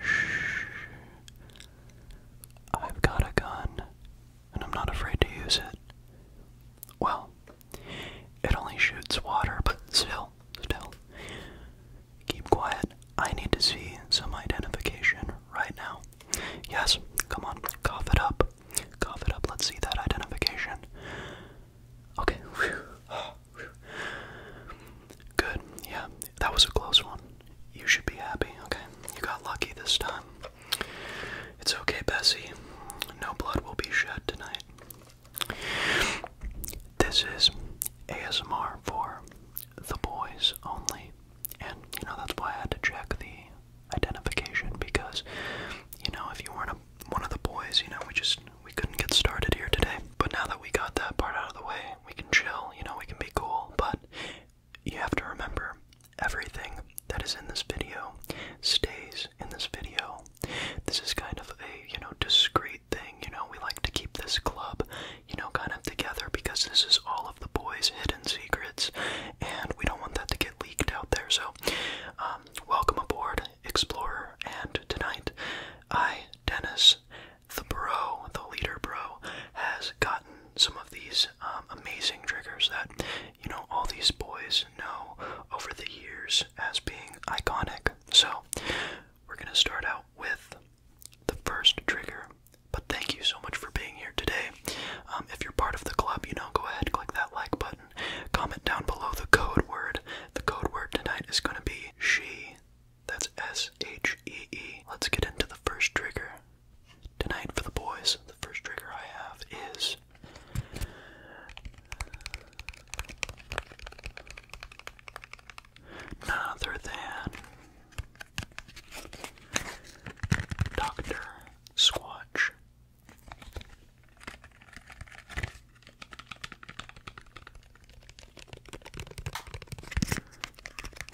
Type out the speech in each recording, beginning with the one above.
Shh. I've got a gun, and I'm not afraid to use it. Well, it only shoots water, but still, still. Keep quiet. I need to see some identification right now. Yes, come on, cough it up. Cough it up. Let's see that identification. Okay. Good, yeah, that was a close one. You should be happy, okay? You got lucky this time. It's okay, Bessie. No blood will be shed tonight. This is ASMR for the boys only. And, you know, that's why I had to check the identification because, you know, if you weren't one of the boys, you know, we just we couldn't get started here today. But now that we got that part out of the way, we can chill, you know, we can be cool. But you have to remember everything that is in this video stays in this video. This is kind of a, you know, discreet thing, you know, we like to keep this club, you know, kind of together because this is all of the boys' hidden secrets and we don't want that to get leaked out there. So, um, welcome aboard, Explorer, and tonight I, Dennis, the bro, the leader bro, has gotten some of these um, amazing triggers that, you know, all these boys know over the years as being iconic. So, we're gonna start out with the first trigger. But thank you so much for being here today. Um, if you're part of the club, you know, go ahead, click that like button. Comment down below the code word. The code word tonight is gonna be she that's S H E E. Let's get into the first trigger. Tonight for the boys, the first trigger I have is other than Dr. Squatch.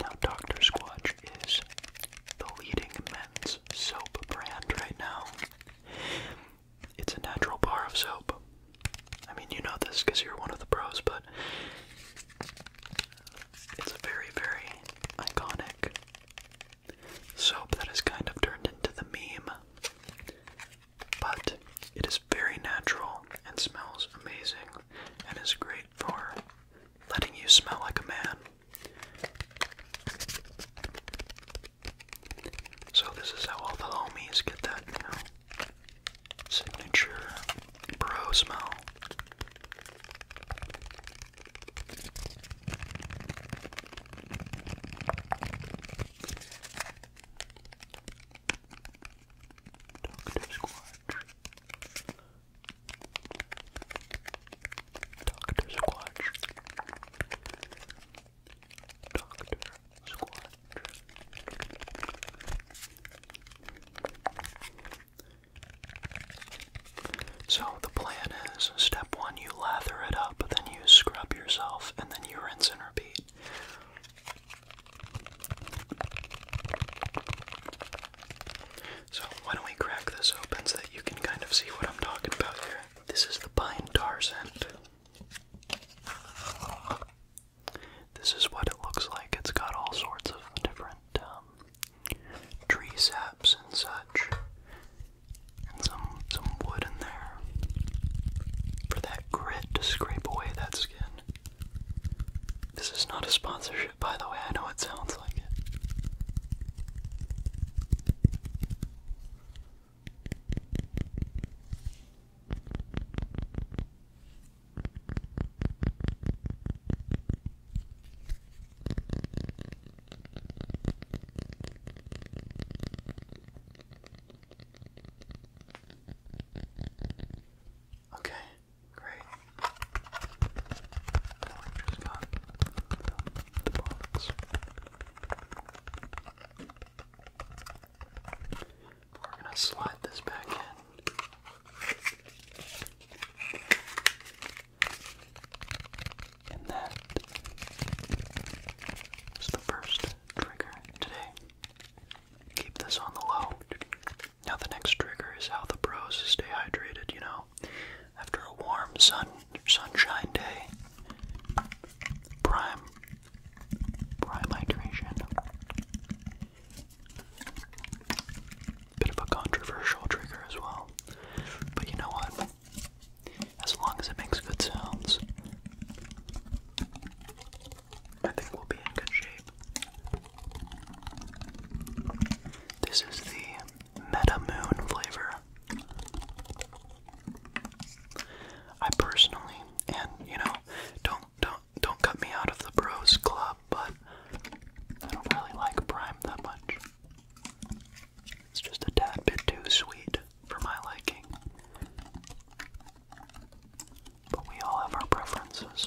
Now, Dr. Squatch is the leading men's soap brand right now. It's a natural bar of soap. I mean, you know this because you're one of the pros, but it's a very, very iconic soap that has kind of turned into the meme but it is very natural and smells amazing and is great for letting you smell like a man. So, this is how all the homies get that, you signature bro smell. Doctor Squatch. Doctor Squatch. Doctor Squatch. So the plan is step one, you lather it up, then you scrub yourself, and then you rinse and repeat. So, why don't we crack this open so that you can kind of see what I'm talking about here? This is the pine tar scent. This is what it looks like. It's got all sorts of different um, tree saps and such, and some some wood in there for that grit to scrape away that skin. This is not a sponsorship, by the way. I know it sounds like it. Okay, great. Now we've just We're gonna slide this back in. And that the first trigger today. Keep this on the low. Now, the next trigger is how the pros stay hydrated, you know. After a warm sun sunshine day, prime, prime hydration. Bit of a controversial trigger as well, but you know what? As long as it makes good sounds, I think we'll be in good shape. This is the Meta Moon flavor. I personally, and you know, don't don't don't cut me out of the bros club, but I don't really like Prime that much. It's just a tad bit too sweet for my liking but we all have our preferences.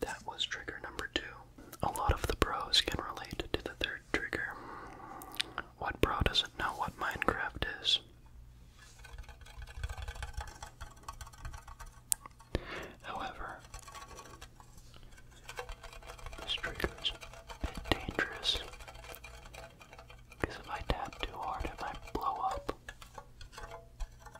That was trigger number two. A lot of the pros can relate to the third trigger. What pro doesn't know what Minecraft is? However, this trigger is dangerous if I tap too hard, it might blow up.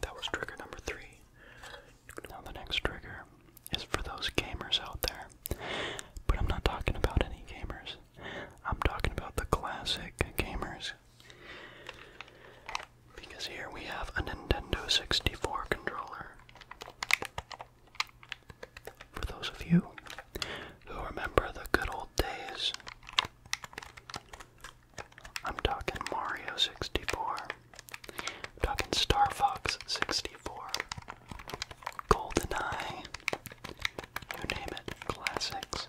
That was trigger number three. Now, the next trigger is for those gamers out there. But I'm not talking about any gamers. I'm talking about the classic gamers. Because here we have a Nintendo 64 controller. For those of you who remember the good old days, I'm talking Mario 64. talking Star Fox 64. GoldenEye, you name it, classics.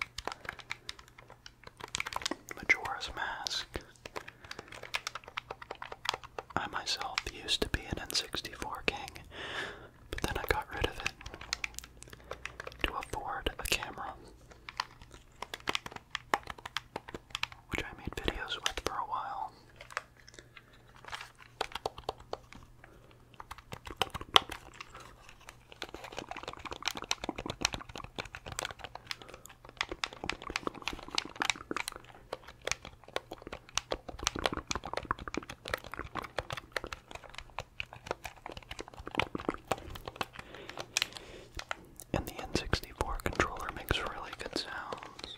Majora's Mask. I myself used to be an N64 king, but then I got rid of it to afford a camera, which I made videos with for a while. And the N64 controller makes really good sounds.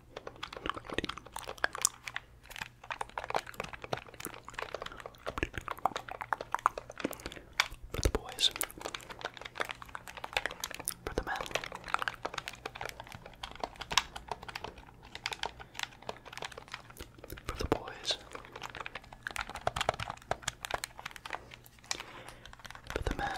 For the boys. For the men. For the boys. For the men.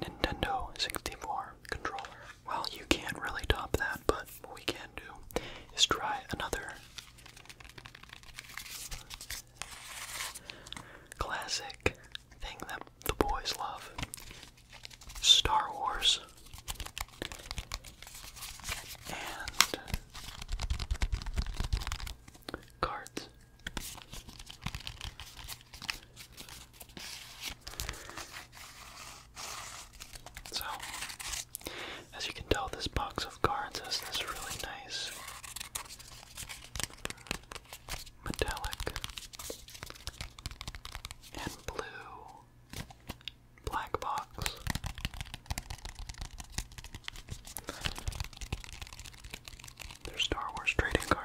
Nintendo 64 controller. Well, you can't really top that, but what we can do is try another classic thing that the boys love Star Wars. And cards. So, as you can tell, this box of cards has this really nice metallic, and blue. Black box. They're Star Wars trading cards.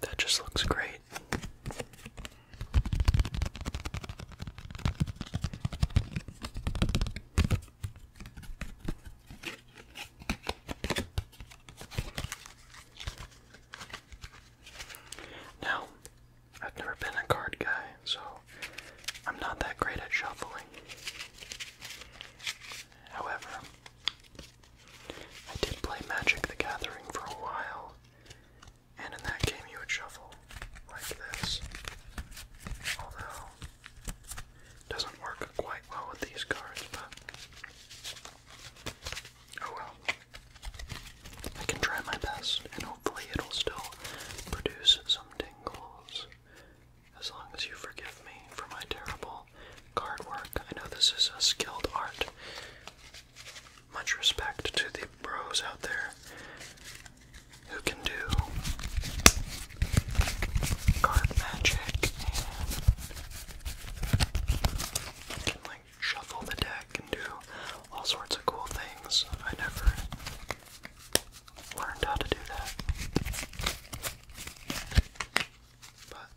That just looks great. Now, I've never been a card guy, so I'm not that great at shuffling. However, I did play Magic the Gathering for a while, and in that game you would shuffle like this. Although, doesn't work quite well with these cards, but oh well. I can try my best, and hopefully it'll still produce some tingles. As long as you forgive me for my terrible Card work. I know this is a skilled art. Much respect to the bros out there who can do card magic and like shuffle the deck and do all sorts of cool things. I never learned how to do that. But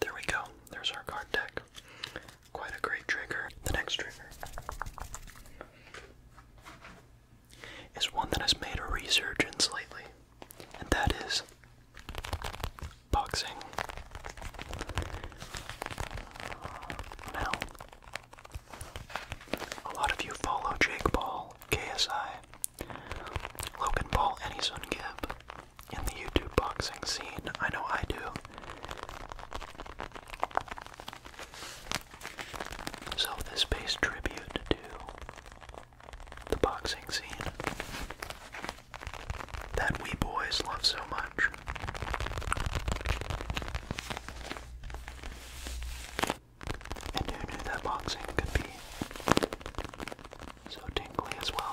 there we go. There's our card deck. Quite a great trigger. The next trigger is one that has made a resurgence lately and that is boxing. Now, a lot of you follow Jake Paul, KSI, Logan Paul, and Eason Gibb in the YouTube boxing scene. I know I do. So this pays tribute to the boxing scene that we boys love so much. And who knew that boxing could be so tingly as well?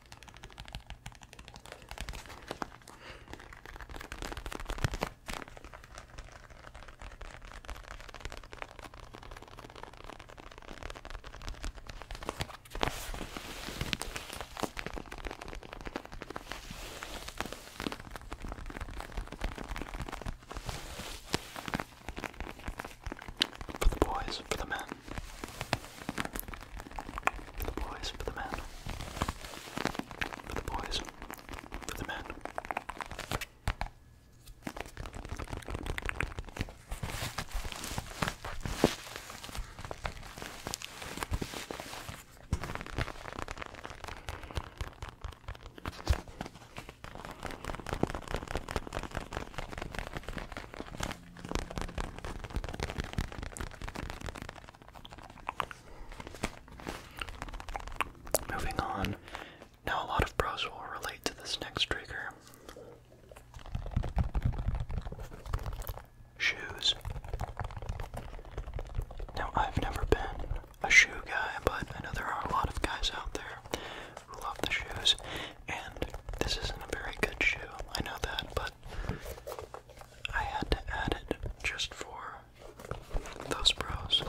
For the boys, for the men. For the boys, for the men. For the boys, for the men. Moving on. Now, a lot of pros will relate to this next trigger. Shoes. Now, I've never been a shoe guy, but I know there are a lot of guys out there who love the shoes, and this isn't a very good shoe, I know that, but I had to add it just for those pros.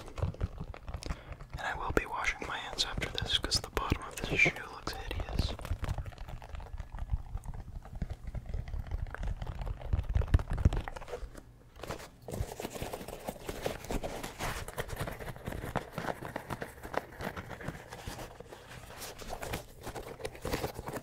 And I will be washing my hands after this because the bottom of this shoe looks hideous.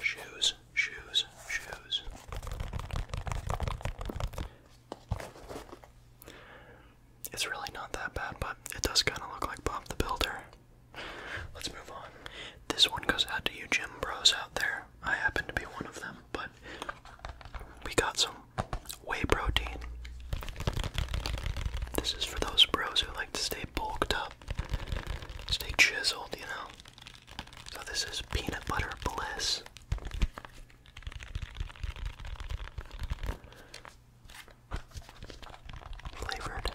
Shoes, shoes, shoes. It's really not that bad, but it does kind of look like Bob the Builder. Let's move on. This one goes out to you, Jim Bros out there. I happen to be one of them, but we got some whey protein. This is for those bros who like to stay bulked up stay chiseled, you know. So this is peanut butter bliss. Flavored.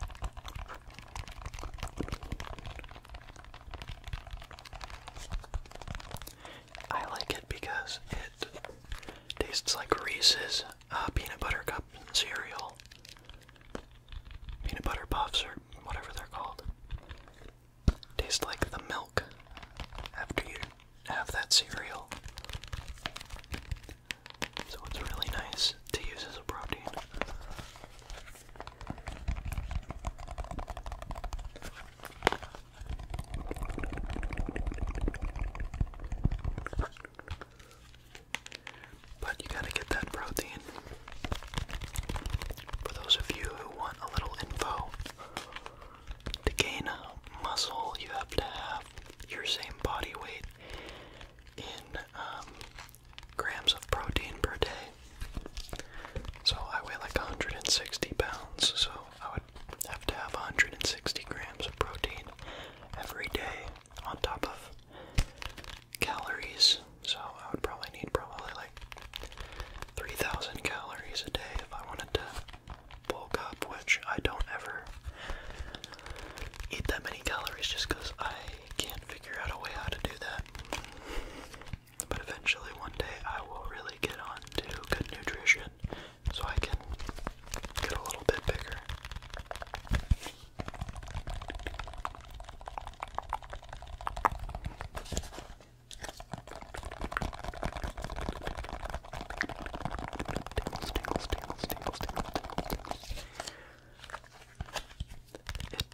I like it because it tastes like Reese's uh, peanut butter cup cereal. Peanut butter puffs, or whatever they're called, taste like the milk after you have that cereal. So it's really nice to use as a protein. But you gotta get that protein. For those of you who want a little info, to gain muscle, you have to have your same body weight in um, grams of protein per day. So I weigh like 160 pounds, so I would have to have 160 grams of protein every day on top of calories. So I would probably need probably like 3,000 calories a day if I wanted to bulk up, which I don't ever eat that many calories just because I can't figure out a way how to do that. But eventually, one day, I will really get on to good nutrition so I can get a little bit bigger. It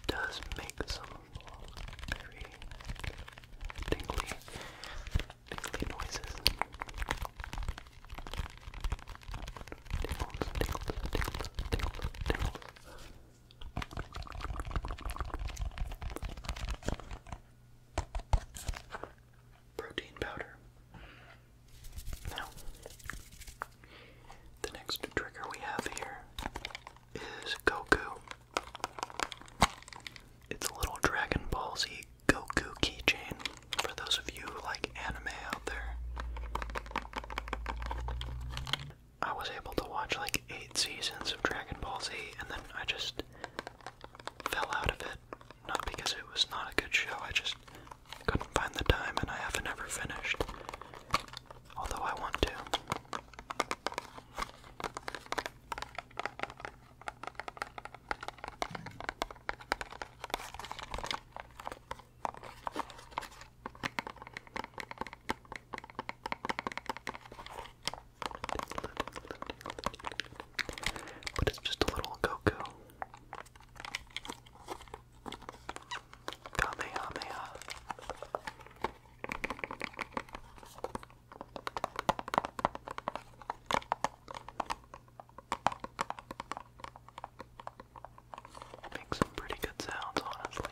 does make some very tingly, tingly noises. Protein powder. Now, the next trigger we have here is Goku. It's a little Dragon Ball Z Goku keychain for those of you who like anime out there. I was able to watch like eight seasons of Dragon Ball Z and then I just fell out of it. Not because it was not a good show, I just couldn't find the time and I haven't ever finished. Although I want to. But it's just a little Goku. Kamehameha. Makes some pretty good sounds, honestly.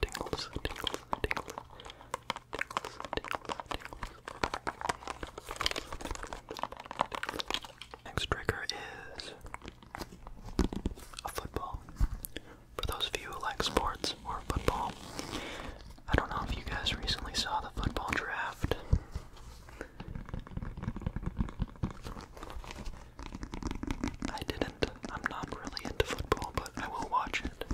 Tingles, tingles, tingles, tingles, Next trigger is a football. For those of you who like sports or football, I don't know if you guys recently saw the football draft. I didn't. I'm not really into football, but I will watch it.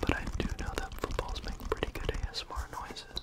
But I do know that footballs make pretty good ASMR noises.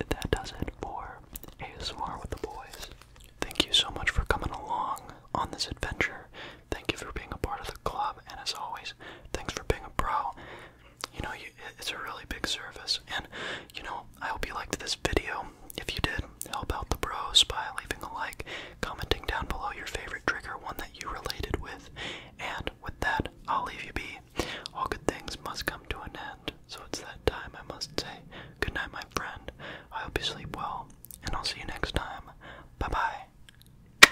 And that does it for ASMR with the boys. Thank you so much for coming along on this adventure Thank you for being a part of the club, and as always, thanks for being a pro. You know, it's a really big service, and you know, I hope you liked this video. If you did, help out the pros by leaving a like, commenting down below your favorite trigger, one that you related with, and with that, I'll leave you be. All good things must come to an end, so it's that time I must say good night, my friend. I hope you sleep well, and I'll see you next time. Bye bye.